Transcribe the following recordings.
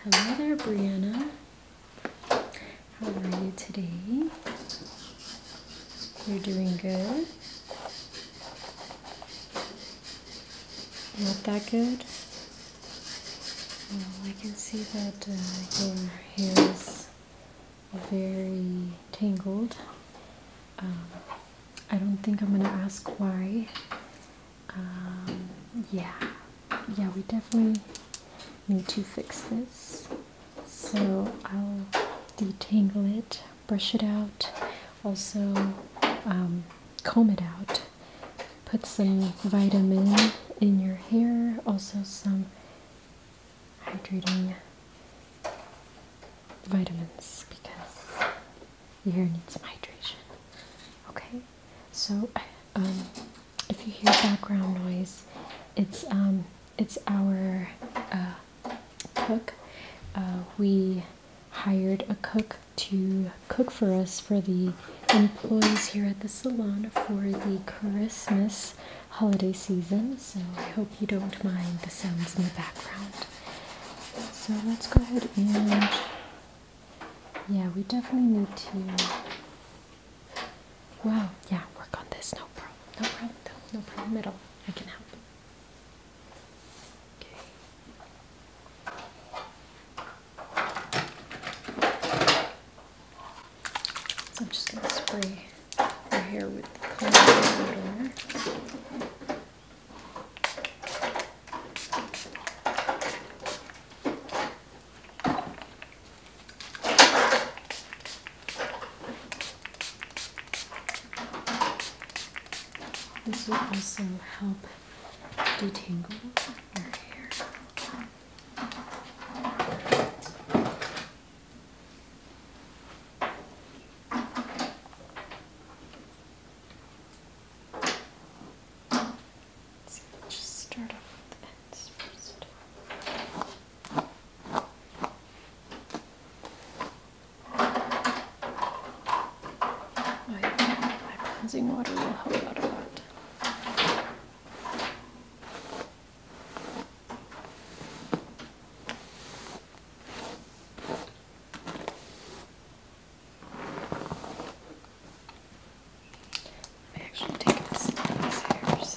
Hello there, Brianna. How are you today? You're doing good? Not that good? I can see that uh, your hair is very tangled. Um, I don't think I'm going to ask why. Um, yeah, yeah, we definitely need to fix this. So I'll detangle it, brush it out, also um, comb it out, put some vitamin in your hair, also some hydrating vitamins because you hair needs some hydration. Okay, so um, if you hear background noise, it's um, it's our uh, cook. Uh, we hired a cook to cook for us for the employees here at the salon for the Christmas holiday season. So I hope you don't mind the sounds in the background. So let's go ahead and yeah, we definitely need to. Wow, yeah, work on this. No problem. No problem. No, problem at all. I can help. Okay. I'm just going to spray your hair with the color. This will also help detangle your hair. Let's just start off with the ends first. Oh, My cleansing water will help a lot. Let me actually take a listen to these hairs.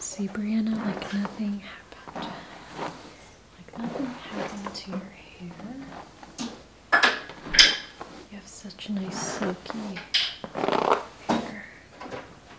See, Brianna, like nothing happened. Like nothing happened to your hair. You have such a nice silky hair.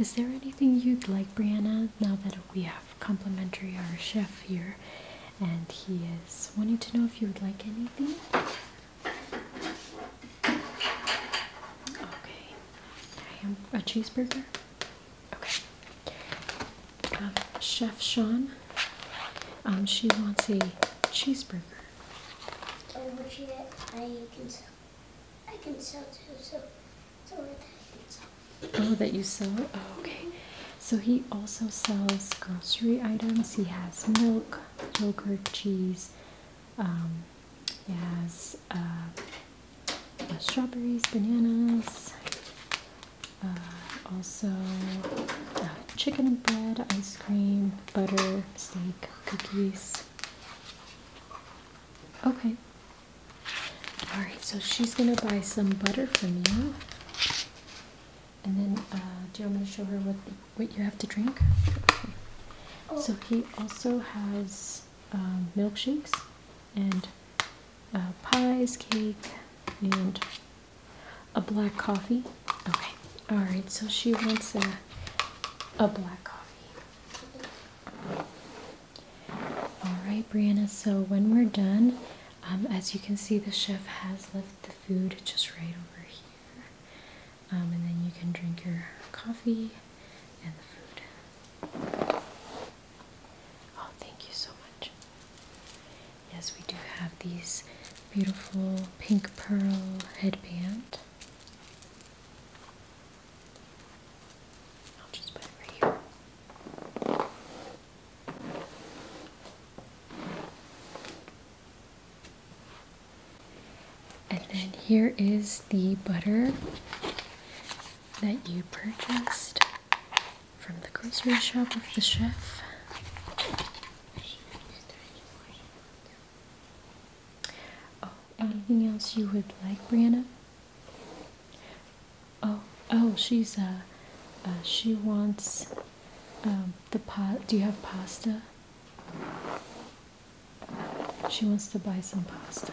Is there anything you'd like, Brianna, now that we have complimentary our chef here, and he is wanting to know if you would like anything. Okay, I am a cheeseburger. Okay, um, Chef Sean. Um, she wants a cheeseburger. I can sell. I can sell too. Oh, that you sell? Oh, okay. So he also sells grocery items. He has milk, yogurt, cheese. Um, he has uh, uh, strawberries, bananas. Uh, also, chicken and bread, ice cream, butter, steak, cookies. Okay, all right, so she's gonna buy some butter from you, and then uh, do you want me to show her what what you have to drink? So he also has um, milkshakes and uh, pies, cake, and a black coffee. Okay. All right. So she wants a a black coffee. All right, Brianna. So when we're done, um, as you can see, the chef has left the food just right over here, um, and then you can drink your coffee and the food. Oh, thank you so much. Yes, we do have these beautiful pink pearl headband. And then here is the butter that you purchased from the grocery shop of the chef. Oh, anything else you would like, Brianna? Oh, oh, she's uh, uh, she wants um, the pot. Do you have pasta? She wants to buy some pasta.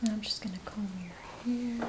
Now I'm just going to comb your hair.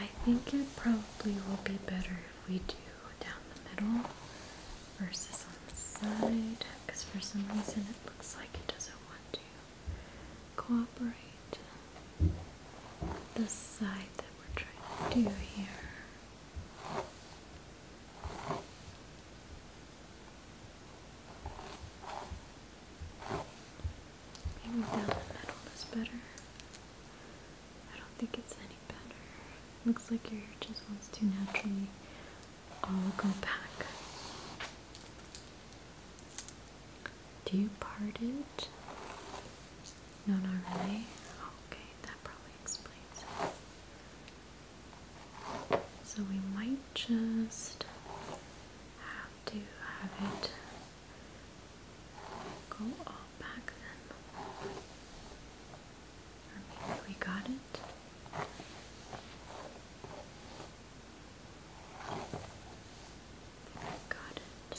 I think it probably will be better if we do down the middle versus on the side because for some reason it looks like it doesn't want to cooperate the side that we're trying to do here. Maybe down the middle is better. I don't think it's any better. Looks like your hair just wants to naturally all go back. Do you part it? No, not really. Okay, that probably explains it. So we might just have to have it go all back then. Or maybe we got it. I got it.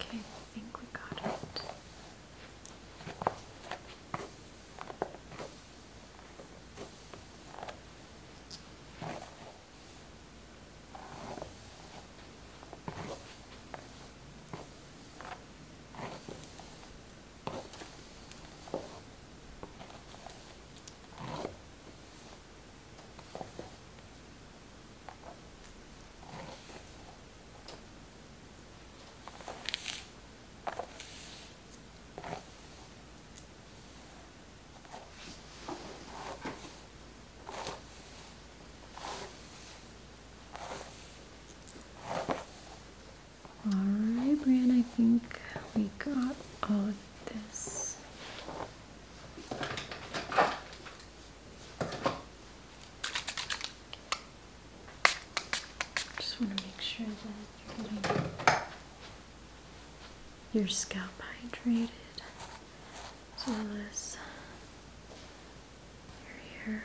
Okay, I think we got it. All right, Brian, I think we got all this. Just want to make sure that you're getting your scalp hydrated as well as your hair.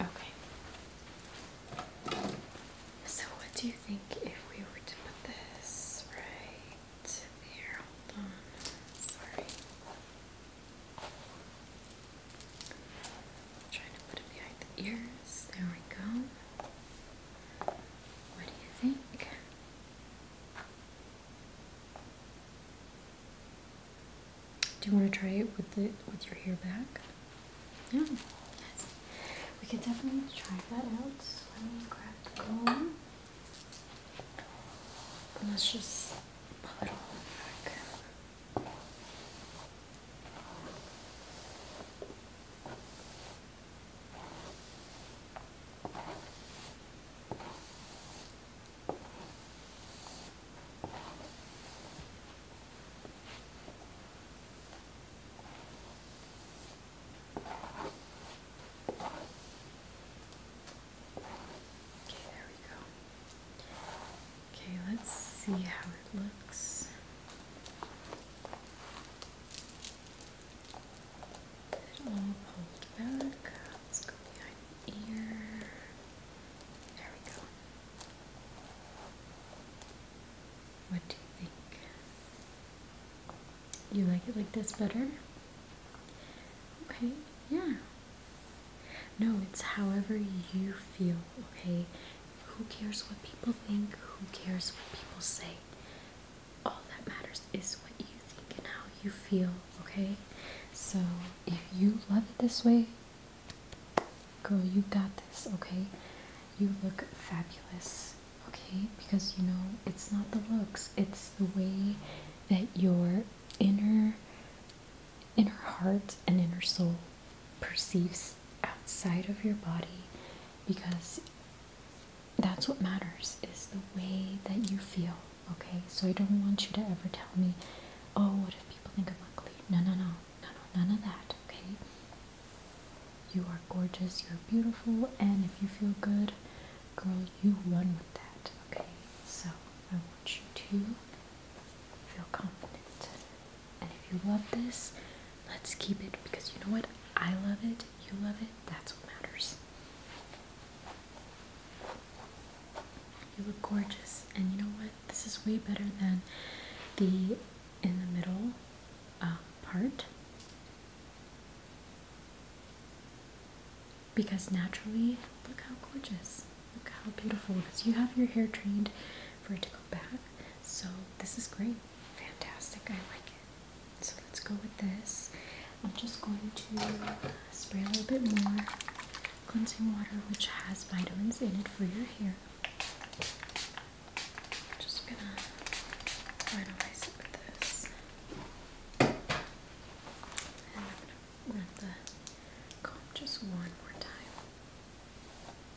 Okay. So what do you think if we were to put this right here? Hold on. Sorry. trying to put it behind the ears. There we go. What do you think? Do you want to try it with the with your hair back? Yeah. We can definitely try that out. let me grab the comb. let's just put it all back. Okay, there we go. Okay, let's see how it looks. All pulled back. Let's go behind ear. There we go. What do you think? You like it like this better? Okay, yeah. No, it's however you feel, okay? Who cares what people think? Who cares what people say? All that matters is what you think and how you feel, okay? So if you love it this way, girl, you got this, okay? You look fabulous, okay? Because you know, it's not the looks, it's the way that your inner inner heart and inner soul perceives outside of your body because that's what matters is the way that you feel okay so i don't want you to ever tell me oh what if people think i'm ugly no no no no no none of that okay you are gorgeous you're beautiful and if you feel good girl you run with that okay so i want you to feel confident and if you love this, let's keep it because you know what? I love it, you love it, that's what matters. You look gorgeous, and you know what? This is way better than the in the middle um, part because naturally, look how gorgeous, look how beautiful. Because you have your hair trained for it to go back, so this is great. Fantastic. I like it. So let's go with this. I'm just going to spray a little bit more cleansing water which has vitamins in it for your hair. just gonna finalize it with this. And I'm gonna run the comb just one more time.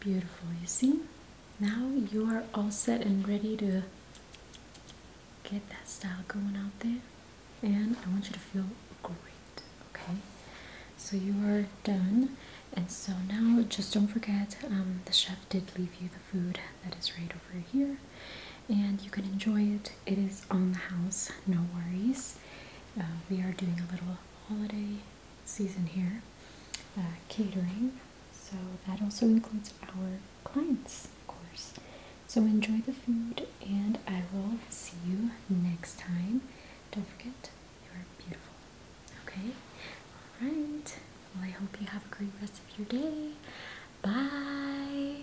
Beautiful, you see? Now you are all set and ready to get that style going out there. And I want you to feel great, okay? So you are done. And so now just don't forget um, the chef did leave you the food that is right over here. And you can enjoy it. It is on the house, no worries. Uh, we are doing a little holiday season here, uh, catering. So that also includes our clients, of course. So enjoy the food, and I will see you next time. Don't forget, you are beautiful. Okay? All right. Well, I hope you have a great rest of your day. Bye.